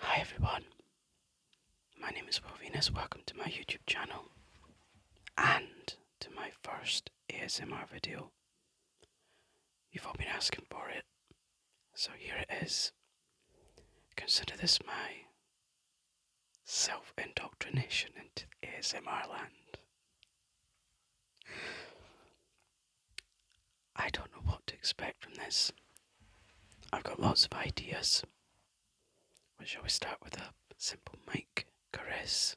Hi everyone, my name is Wovinus, welcome to my YouTube channel and to my first ASMR video. You've all been asking for it, so here it is. Consider this my self indoctrination into ASMR land. I don't know what to expect from this. I've got lots of ideas. But shall we start with a simple mic caress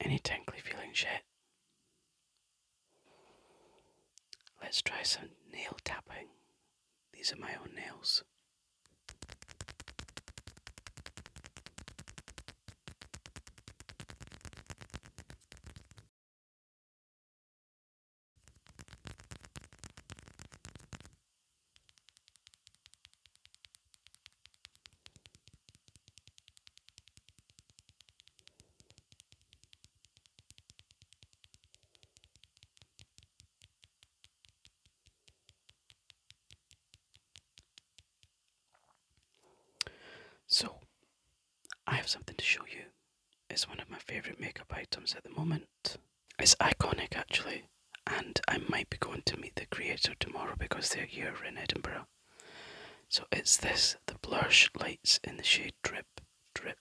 Any tingly feelings shit? Let's try some nail tapping. These are my own nails. So, I have something to show you. It's one of my favourite makeup items at the moment. It's iconic actually and I might be going to meet the creator tomorrow because they're here in Edinburgh. So it's this the bluish lights in the shade drip, drip.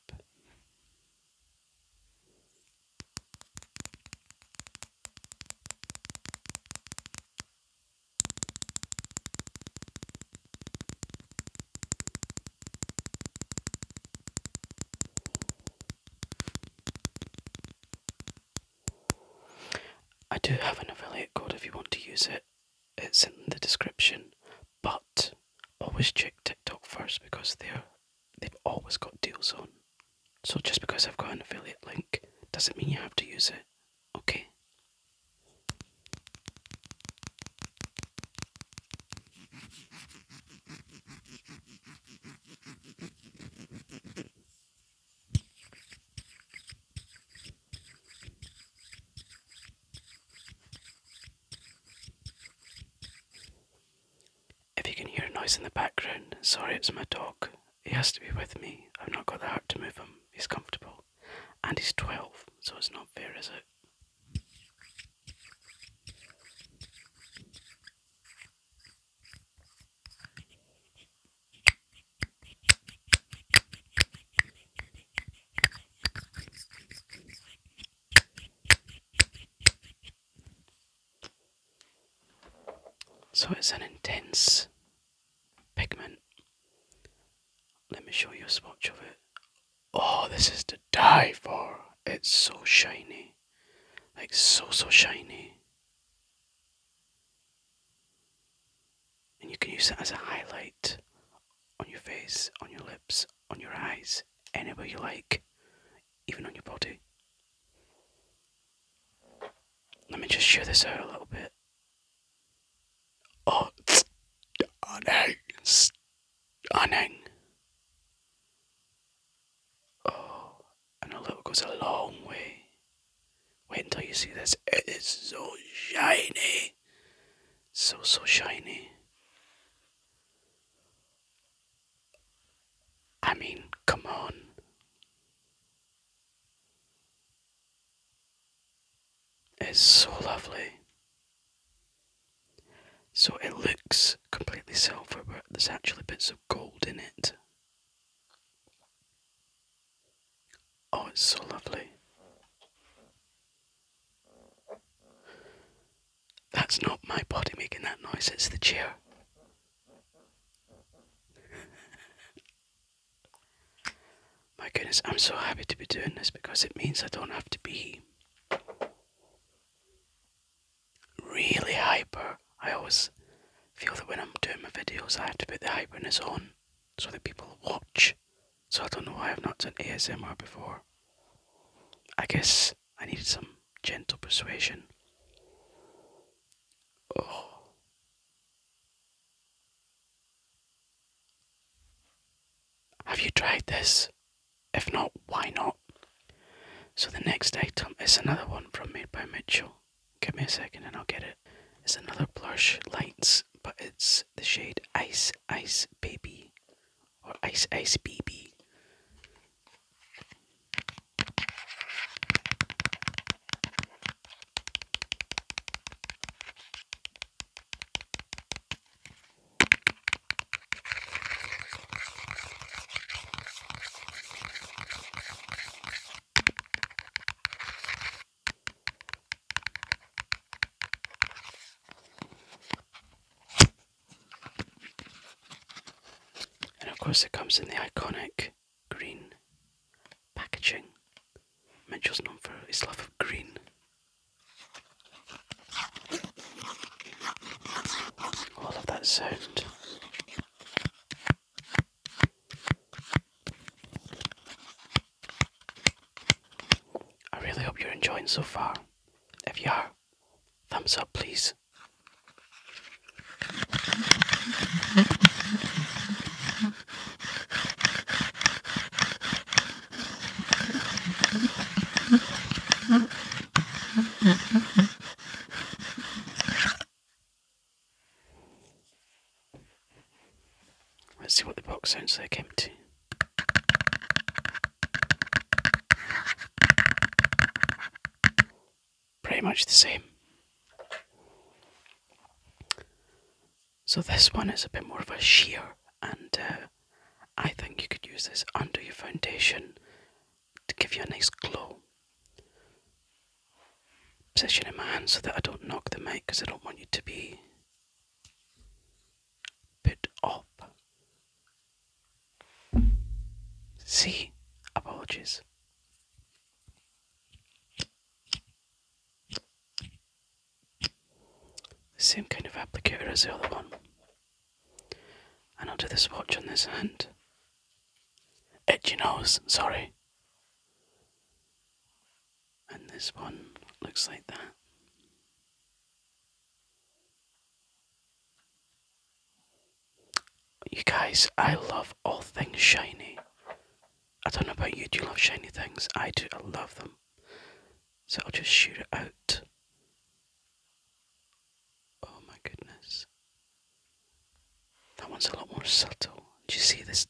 I do have an affiliate code if you want to use it, it's in the description. But always check TikTok first because they're they've always got deals on. So just because I've got an affiliate link doesn't mean you have to use it. Okay. If you can hear a noise in the background, sorry, it's my dog. He has to be with me. I've not got the heart to move him. He's comfortable. And he's 12, so it's not fair, is it? So it's an intense pigment. Let me show you a swatch of it. Oh, this is to die for. It's so shiny. Like so, so shiny. And you can use it as a highlight on your face, on your lips, on your eyes, anywhere you like, even on your body. Let me just show this out a little bit. Oh, stunning, stunning. Oh, and a little goes a long way. Wait until you see this. It is so shiny. So, so shiny. I mean, come on. It's so lovely. So it looks completely silver, but there's actually bits of gold in it. Oh, it's so lovely. That's not my body making that noise, it's the chair. my goodness, I'm so happy to be doing this because it means I don't have to be really hyper. I always feel that when I'm doing my videos, I have to put the hyperness on so that people watch. So I don't know why I've not done ASMR before. I guess I needed some gentle persuasion. Oh. Have you tried this? If not, why not? So the next item is another one from Made by Mitchell. Give me a second and I'll get it. It's another plush lights, but it's the shade Ice Ice Baby or Ice Ice Baby. And of course, it comes in the iconic green packaging. Mitchell's known for his love of green Oh, I that sound. I really hope you're enjoying so far. If you are, thumbs up please. Let's see what the box sounds like empty. Pretty much the same. So this one is a bit more of a sheer and uh, I think you could use this under your foundation to give you a nice glow. Position in my hand so that I don't knock the mic because I don't want you to be put up. See? Apologies. Same kind of applicator as the other one. And I'll do this watch on this hand. Edgy nose, sorry. And this one looks like that. You guys, I love all things shiny. I don't know about you, do you love shiny things? I do, I love them. So I'll just shoot it out. Oh my goodness. That one's a lot more subtle. Do you see this?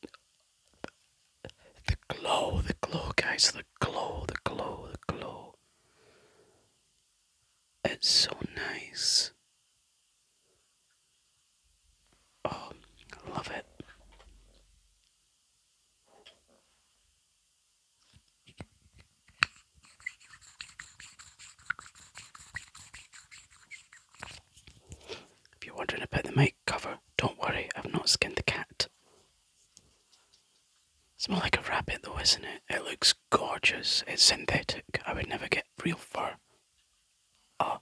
The glow, the glow, guys, the glow, the glow, the glow. It's so nice. Oh, love it. If you're wondering about the mic cover, don't worry, I've not skinned the cat. It's more like a rabbit though, isn't it? It looks gorgeous. It's synthetic. I would never get real fur. Ah.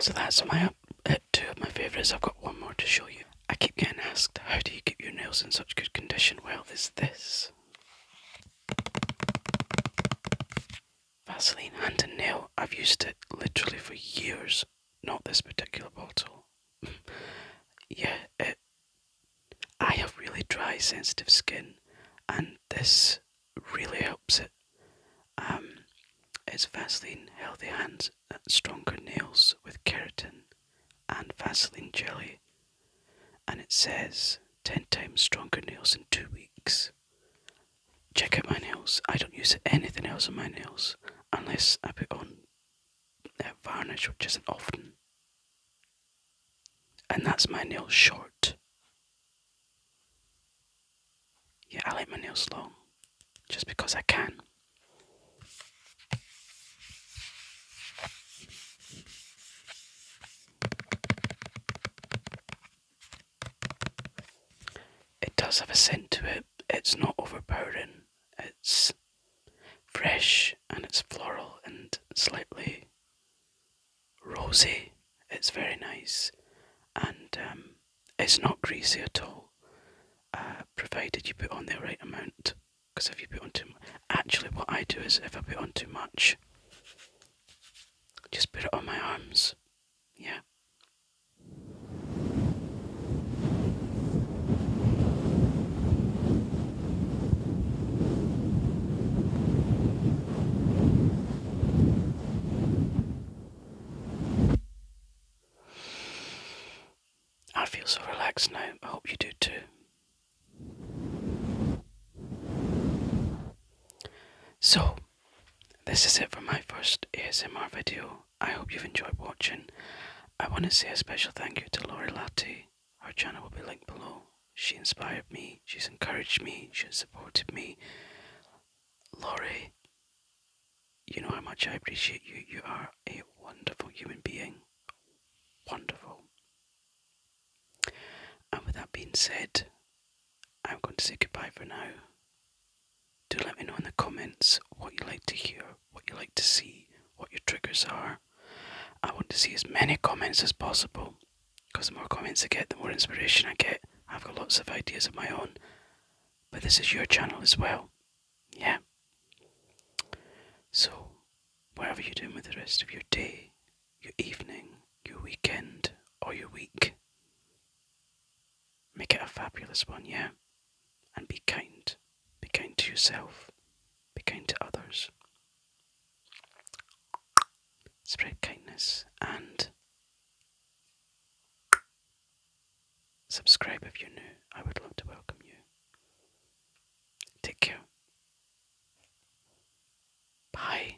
So that's my up at uh, two of my favourites. I've got one more to show you. I keep getting asked, how do you keep your nails in such good condition? Well, there's this. Vaseline and a nail. I've used it literally for years. Not this particular bottle yeah, it, uh, I have really dry, sensitive skin, and this really helps it. Um, it's Vaseline Healthy Hands, uh, Stronger Nails with Keratin, and Vaseline Jelly, and it says 10 times stronger nails in two weeks. Check out my nails. I don't use anything else on my nails unless I put on varnish, which isn't often. And that's my nails short. Yeah, I like my nails long, just because I can. It does have a scent to it. It's not overpowering. It's fresh and it's floral and slightly rosy. It's very nice and um, it's not greasy at all, uh, provided you put on the right amount. Because if you put on too much, actually, what I do is if I put on too much, just put it on my arms. Yeah, I feel so relaxed now. I hope you do too. So, this is it for my first ASMR video. I hope you've enjoyed watching. I want to say a special thank you to Laurie Lati. Our channel will be linked below. She inspired me, she's encouraged me, she's supported me. Laurie, you know how much I appreciate you. You are a wonderful human being. Wonderful. And with that being said, I'm going to say goodbye for now. Do let me know in the comments what you like to hear, what you like to see, what your triggers are. I want to see as many comments as possible because the more comments I get, the more inspiration I get. I've got lots of ideas of my own, but this is your channel as well. Yeah. So, whatever you're doing with the rest of your day, your evening, your weekend, or your week, make it a fabulous one, yeah? and be kind. Be kind to yourself, be kind to others. Spread kindness and subscribe if you're new. I would love to welcome you. Take care. Bye.